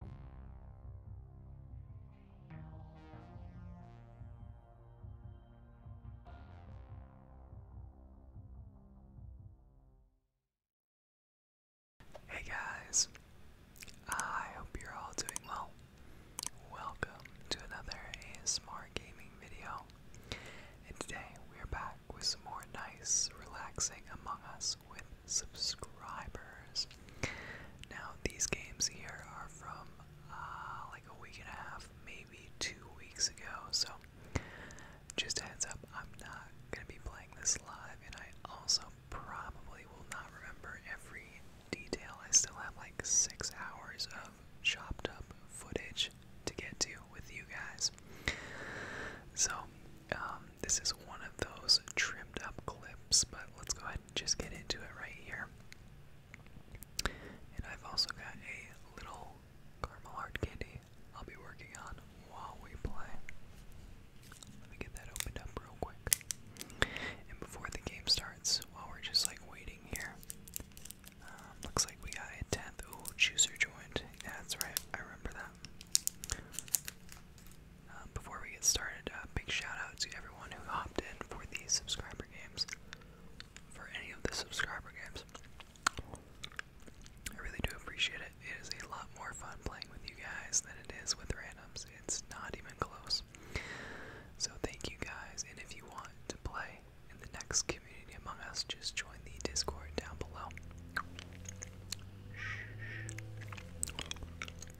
Hey guys, I hope you're all doing well. Welcome to another ASMR gaming video, and today we are back with some more nice, relaxing Among Us with subscribers. Now, these games here are from uh, like a week and a half, maybe two weeks ago. So, just a heads up, I'm not going to be playing this live, and I also probably will not remember every detail. I still have like six hours of chopped up footage to get to with you guys. So, um, this is one of those trimmed up clips, but let's go ahead and just get into it right here. And I've also got a little caramel hard candy I'll be working on while we play. Let me get that opened up real quick. And before the game starts, while we're just like waiting here, um, looks like we got a 10th. Oh, chooser joined. Yeah, that's right. I remember that. Um, before we get started, uh, big shout out to everyone who hopped in for the subscriber games. For any of the subscriber games, I really do appreciate it. It is a lot more fun playing with you guys than it is with randoms. It's not even close. So thank you guys, and if you want to play in the next community among us, just join the Discord down below.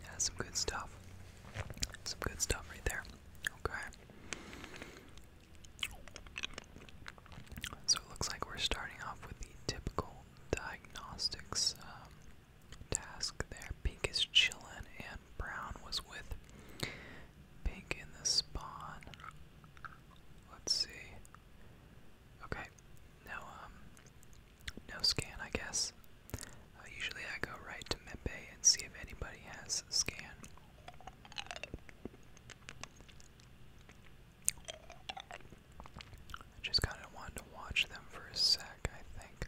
Yeah, some good stuff. Some good stuff right there. Okay. So it looks like we're starting off with the typical diagnostics um, task there. Pink is chillin' and brown was with pink in the spawn. Let's see. Okay. Now, um, no scan, I guess. Uh, usually I go right to Mepe and see if anybody has scan. I just kind of wanted to watch them for a sec, I think.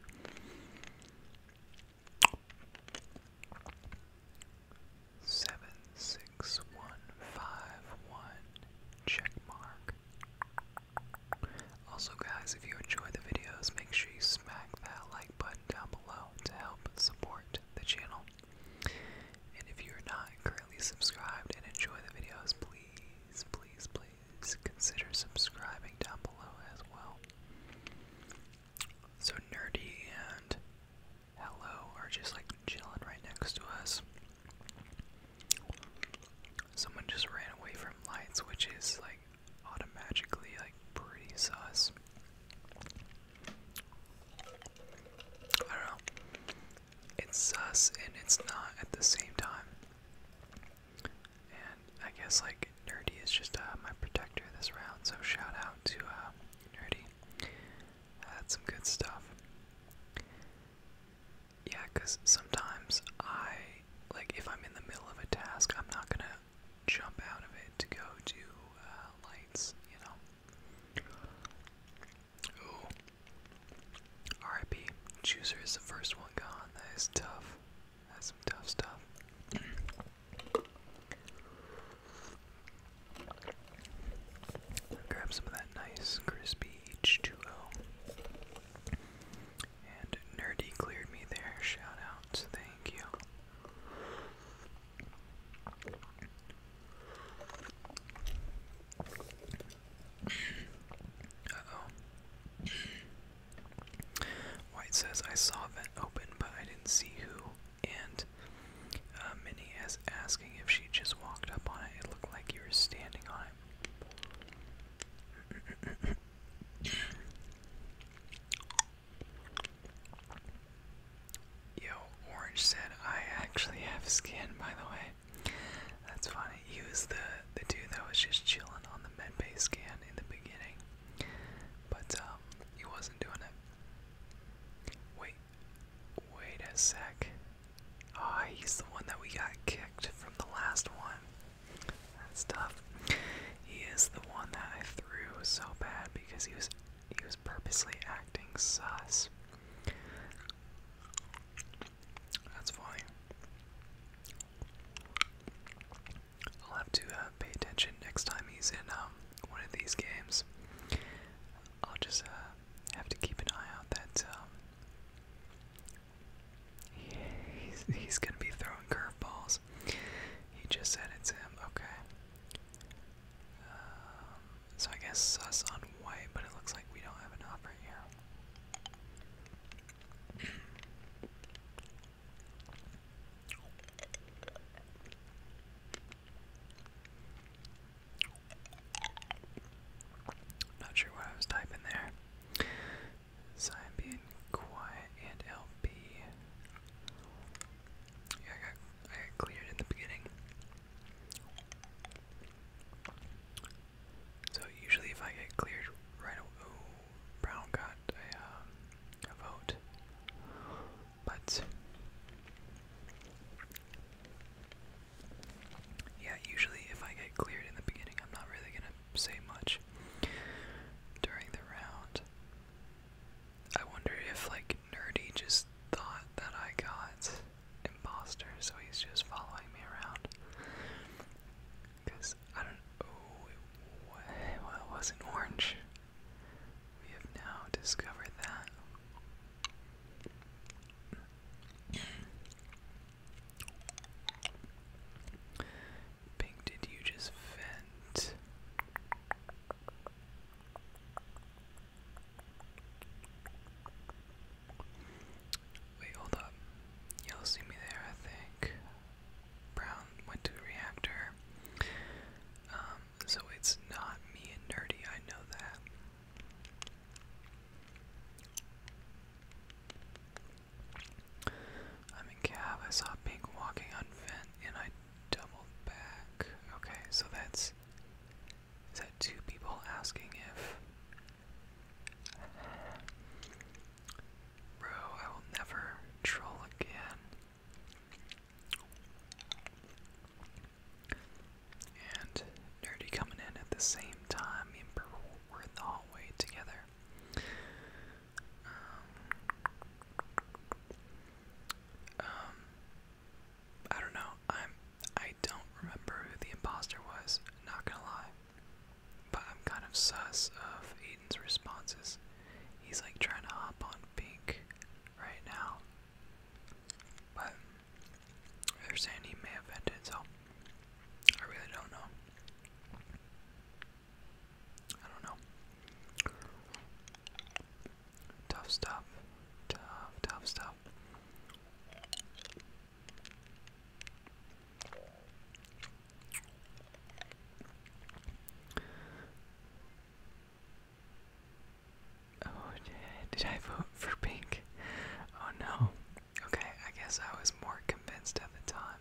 Seven six one five one check mark. Also guys, if you enjoy the videos, make sure you smack that like button down below to help support the channel. And if you're not currently subscribed and enjoy the videos, please, please, please consider subscribing down below as well. So Nerdy and Hello are just like chilling right next to us. Someone just ran away from lights, which is like automatically like pretty sus. I don't know. It's sus and it's not at the same time. And I guess like Nerdy is just uh, my protector this round, so shout out to uh, Nerdy. That's some good stuff. Yeah, because sometimes I, like, if I'm in the middle of a task, I'm not gonna jump out of it to go to uh, lights, you know? RIP. Chooser is the first one gone. That is tough. That's tough stuff. Grab some of that nice crispy H2O. And Nerdy cleared me there. Shout out. Thank you. Uh-oh. White says, I saw vent open, but I didn't see who. And uh, Minnie is asking if she just walked up on it. It looked like you were standing on it. Yo, Orange said I actually have skin, by the way. That's funny. He was the the dude that was just chilling on the med medbay scan in the beginning. But um, he wasn't doing it. Wait wait a sec. Ah, he's the one that we got kicked from the last one. That's tough. He is the one that I threw so bad because he was he was purposely acting sus. That's funny. I'll have to uh, pay attention next time he's in um, one of these games. I'll just uh, have to keep an eye out that um, he's gonna be throwing curveballs. He just said it's him. Okay. Um, so I guess sus on white, but it looks like we don't have enough right here. Not sure what I was typing there. So I'm being quiet and LP. Yeah, I got, I got cleared in the beginning. So usually if I get cleared right away, oh, Brown got a, um, a vote. But, yeah, usually if I get cleared in the beginning, I'm not really gonna say much during the round. I wonder if like Nerdy just thought that I got imposter, so he's just following me around. Cause I don't. Oh, it, it wasn't orange. We have now discovered that. Ping, did you just vent? Wait, hold up. You'll see me there, I think. Brown went to reactor. Um, so it's not me and Nerdy, I know that. I'm in cab. I saw Pink walking on vent and I doubled back. Okay, so that's. Is that two people asking if. Bro, I will never troll again. And Nerdy coming in at the same time. Me and we're in the hallway together. Um, um, I don't know. I'm. I don't remember who the imposter was. Not gonna lie. But I'm kind of sus of Aiden's responses. He's like trying to hop on pink right now. But they're saying he may have ended, so I really don't know. I don't know. Tough stuff. Tough, tough stuff. Oh, did I vote for pink? Oh no. Okay, I guess I was more convinced at the time.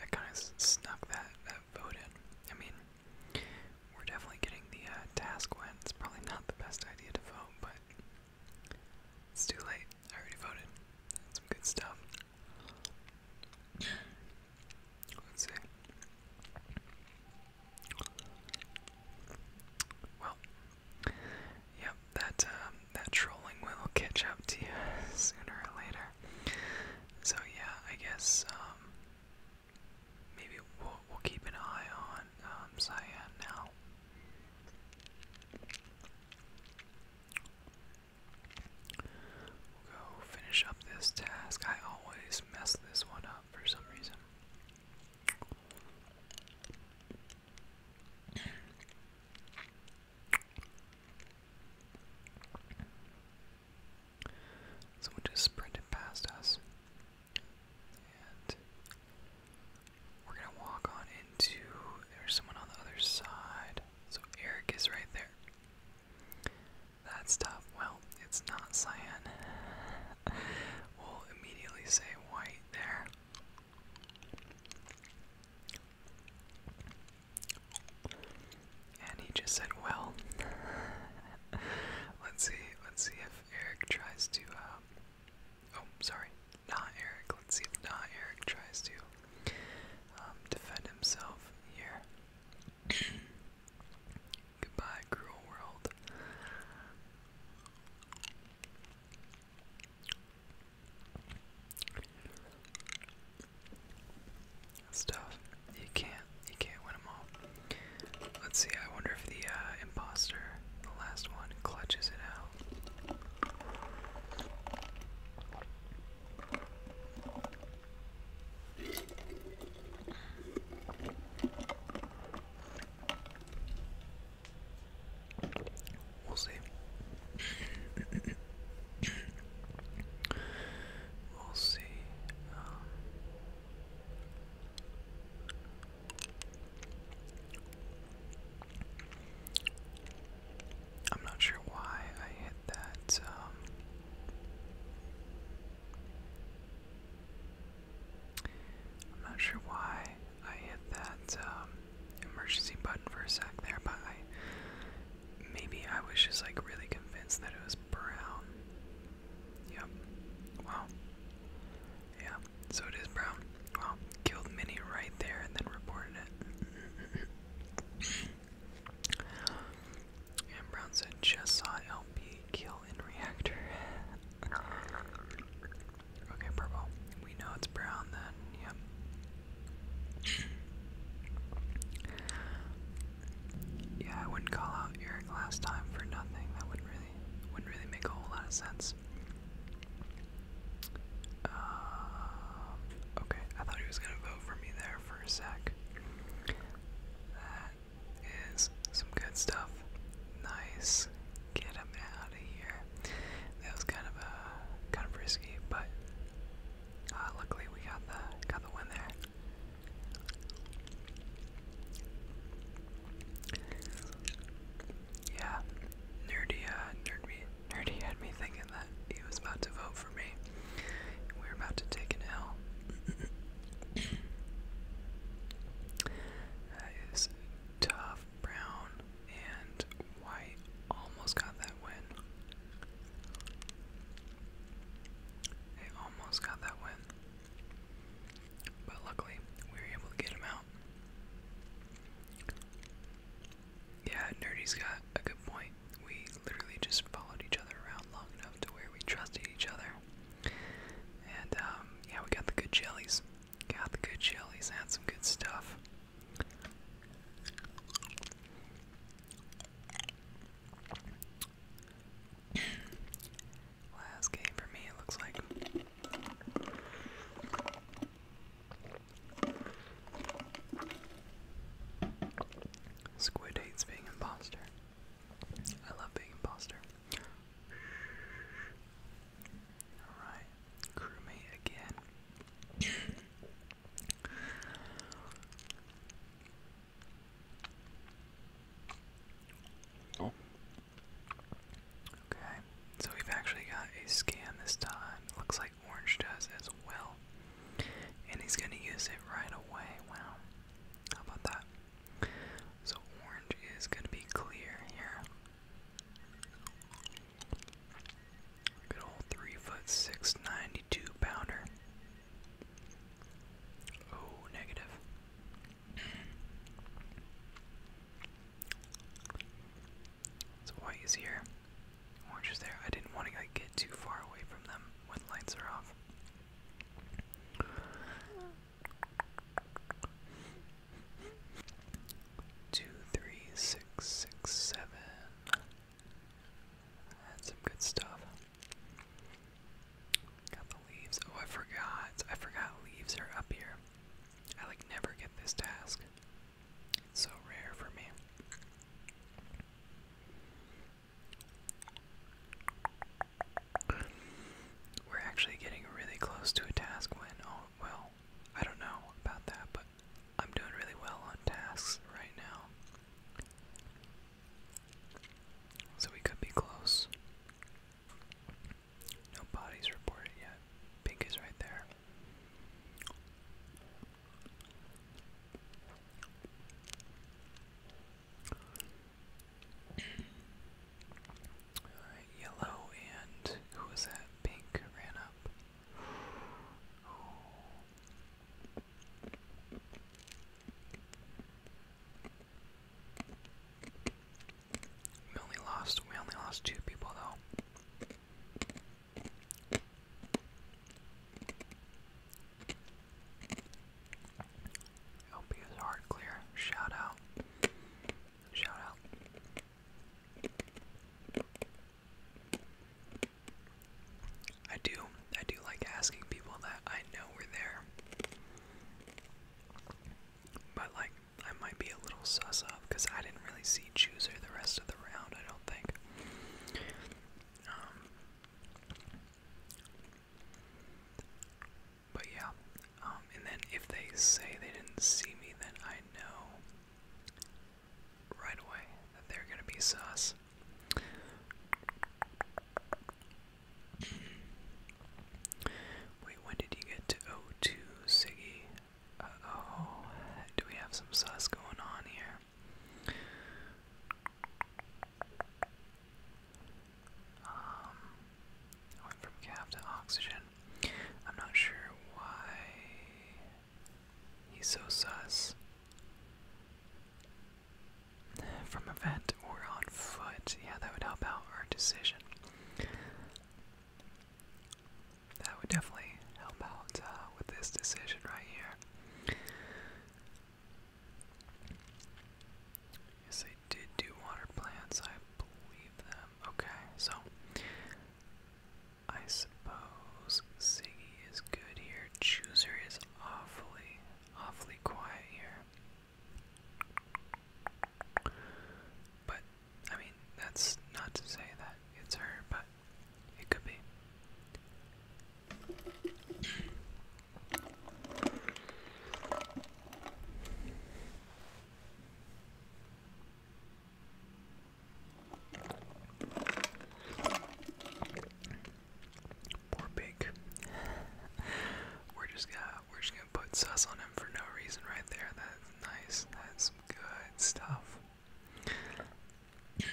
I kind of snuck that, that vote in. I mean, we're definitely getting the uh, task win. It's probably not the best idea to vote, but it's too late. I already voted. That's good stuff. Let's see. Well, yep, that um, that trolling will catch up to you sooner or later. So yeah, I guess um, maybe we'll we'll keep an eye on um, Cyan now. We'll go finish up this task. I always mess this one up for some reason. Someone just sprinted past us. And we're gonna walk on into there's someone on the other side. So Eric is right there. That's tough. Well, it's not cyan. we'll immediately say white there. And he just said, well. let's see, let's see if Eric tries to, um, oh, sorry, not Eric. Let's see if not Eric tries to um, defend himself here. Goodbye, cruel world. That's You can't, you can't win them all. Let's see. I wonder if the uh, imposter, the last one, clutches it out. We'll see. we'll see. Um, I'm not sure why I hit that. Um, I'm not sure why I hit that um, emergency button for a sec there, but I maybe I was just like really convinced that it was brown. Yep. Wow. Yeah. So it is brown. Wow. Killed Minnie right there and then reported it. and Brown said, just saw LP kill in reactor. okay, purple. We know it's brown then, yep. Yeah, I wouldn't call out Eric last time for nothing. That wouldn't really wouldn't really make a whole lot of sense. Um, okay, I thought he was gonna vote for me there for a sec is some good stuff. Nice. Get him out of here. That was kind of a kind of risky, but uh, luckily we got the got the win there. Yeah, nerdy, uh, nerd me, nerdy had me thinking that he was about to vote for me. We were about to take an L. That is tough. Brown and white almost got that win. They almost got that win. But luckily, we were able to get him out. Yeah, Nerdy's got a good point. We literally just followed each other around long enough to where we trusted each other. And um, yeah, we got the good jellies. Got the good jellies. Had some good stuff. Last game for me, it looks like. Squid hates being imposter. I love being imposter. Alright, crewmate again. oh. Okay, so we've actually got a scan this time. Looks like Orange does as well. And he's gonna use it right away. Wow. How about that? So orange is going to be clear here. Good old three foot six ninety two pounder. Oh, negative. so white is here. Orange is there. I didn't want to like, get too far away from them when lights are off. Two, three, six, six, seven. That's some good stuff. Got the leaves. Oh, I forgot. I forgot leaves are up here. I like never get this task. It's so rare for me. We're actually getting really close to a task when, oh, well, I don't know about that, but I'm doing really well on tasks right now. So we could be close. No bodies reported yet. Pink is right there yellow and who was that? Pink ran up. We only lost we only lost two people though. Hope is hard clear. Shout out. Shout out. I do, I do like asking people that I know were there. But like, I might be a little sus of because I didn't really see Chooser the rest of the round, I don't think. Um, but yeah, um, and then if they say they didn't see me, then I know right away that they're gonna be sus. Wait, when did you get to 0 Siggy? Uh, oh, do we have some sus going on here? Um, went from calf to oxygen. I'm not sure why he's so sus. From a or on foot. Yeah, that would help out our decision. That would definitely help out uh, with this decision right here. Yes, I did do water plants, I believe them. Okay, so I suppose Siggy is good here. Chooser is awfully, awfully quiet here. But I mean, that's not to say that it's her, but it could be. Poor pig. we're just gonna we're just gonna put sus on him for no reason right there. That's nice. That's good stuff.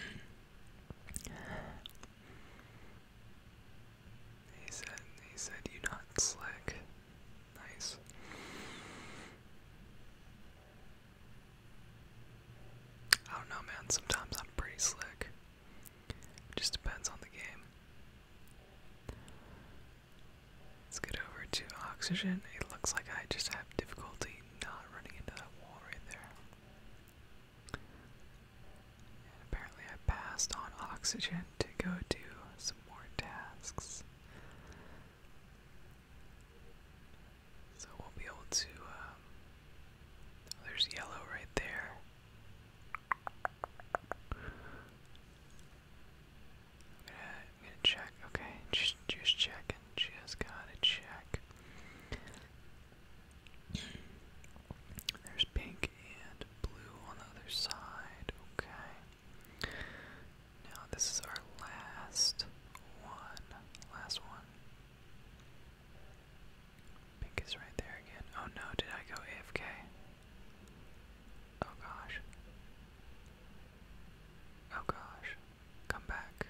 He said, he said, you not slick. Nice. I don't know, man. Sometimes I'm pretty slick. It just depends on the game. Let's get over to oxygen. It looks like I just have difficulty not running into that wall right there. apparently, I passed on oxygen to go to more tasks. So we'll be able to, um, oh, there's yellow right there. I'm gonna check, okay, just, just checking, just gotta check. There's pink and blue on the other side. Okay. Now this is our last one. Last one. Pink is right there again. Oh no, did I go AFK? Oh gosh. Oh gosh. Come back.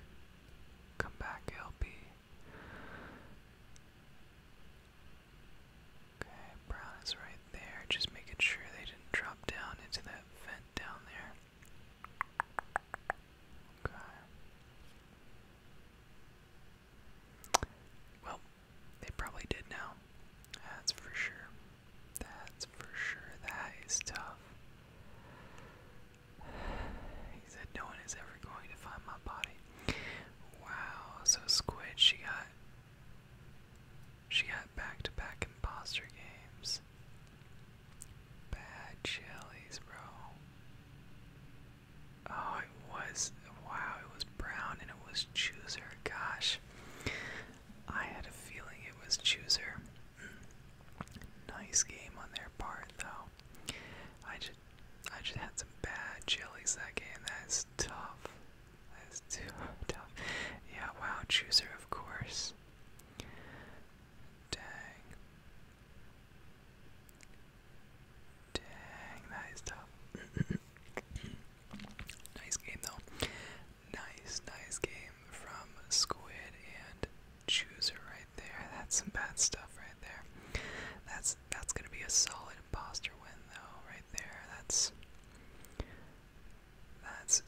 Come back, LP. Okay, brown is right there. Just making sure they didn't drop down into that vent down there. Okay. Well, they probably did now. That's for sure. That's for sure. That is tough. He said no one is ever going to find my body. Wow, so Squid, she got she had back to back imposter games. Bad chilies, bro. Oh, it was. Wow, it was brown and it was chooser. Gosh. I had a feeling it was chooser. nice game on their part, though. I just, I just had some bad chilies that game. That's tough. That's too tough. Yeah, wow, chooser, of course. Dang. Dang, that is tough. nice game, though. Nice, nice game from Squid and Chooser right there. That's some bad stuff right there. That's that's gonna be a solid imposter win though, right there. That's that's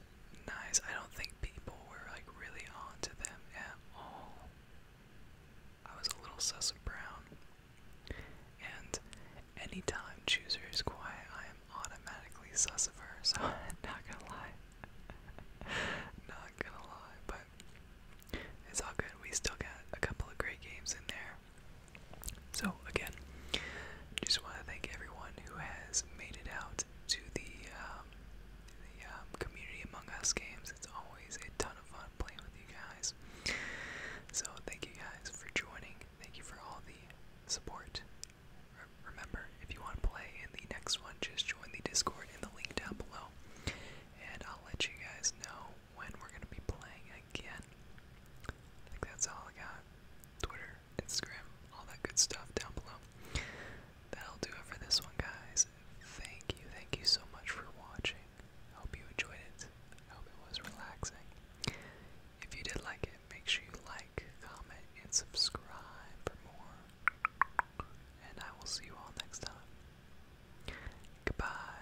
nice. I don't think people were like really on to them at all. I was a little sus of Brown. And anytime Chooser is quiet, I am automatically sus of her, so I'm not gonna lie. not gonna lie, but it's all good. We still got a couple of great games in there. So, again, just want to thank everyone who has made it out to the, um, the um, Community Among Us games. It's always a ton of fun playing with you guys. So, thank you guys for joining. Thank you for all the support. remember, if you want to play in the next one, just join the Discord in the link down below. And I'll let you guys know when we're going to be playing again. I think that's all I got. Twitter, Instagram, all that good stuff down below. That'll do it for this one, guys. Thank you, thank you so much for watching. I hope you enjoyed it. I hope it was relaxing. If you did like it, make sure you like, comment, and subscribe for more. And I will see you all next time. Goodbye.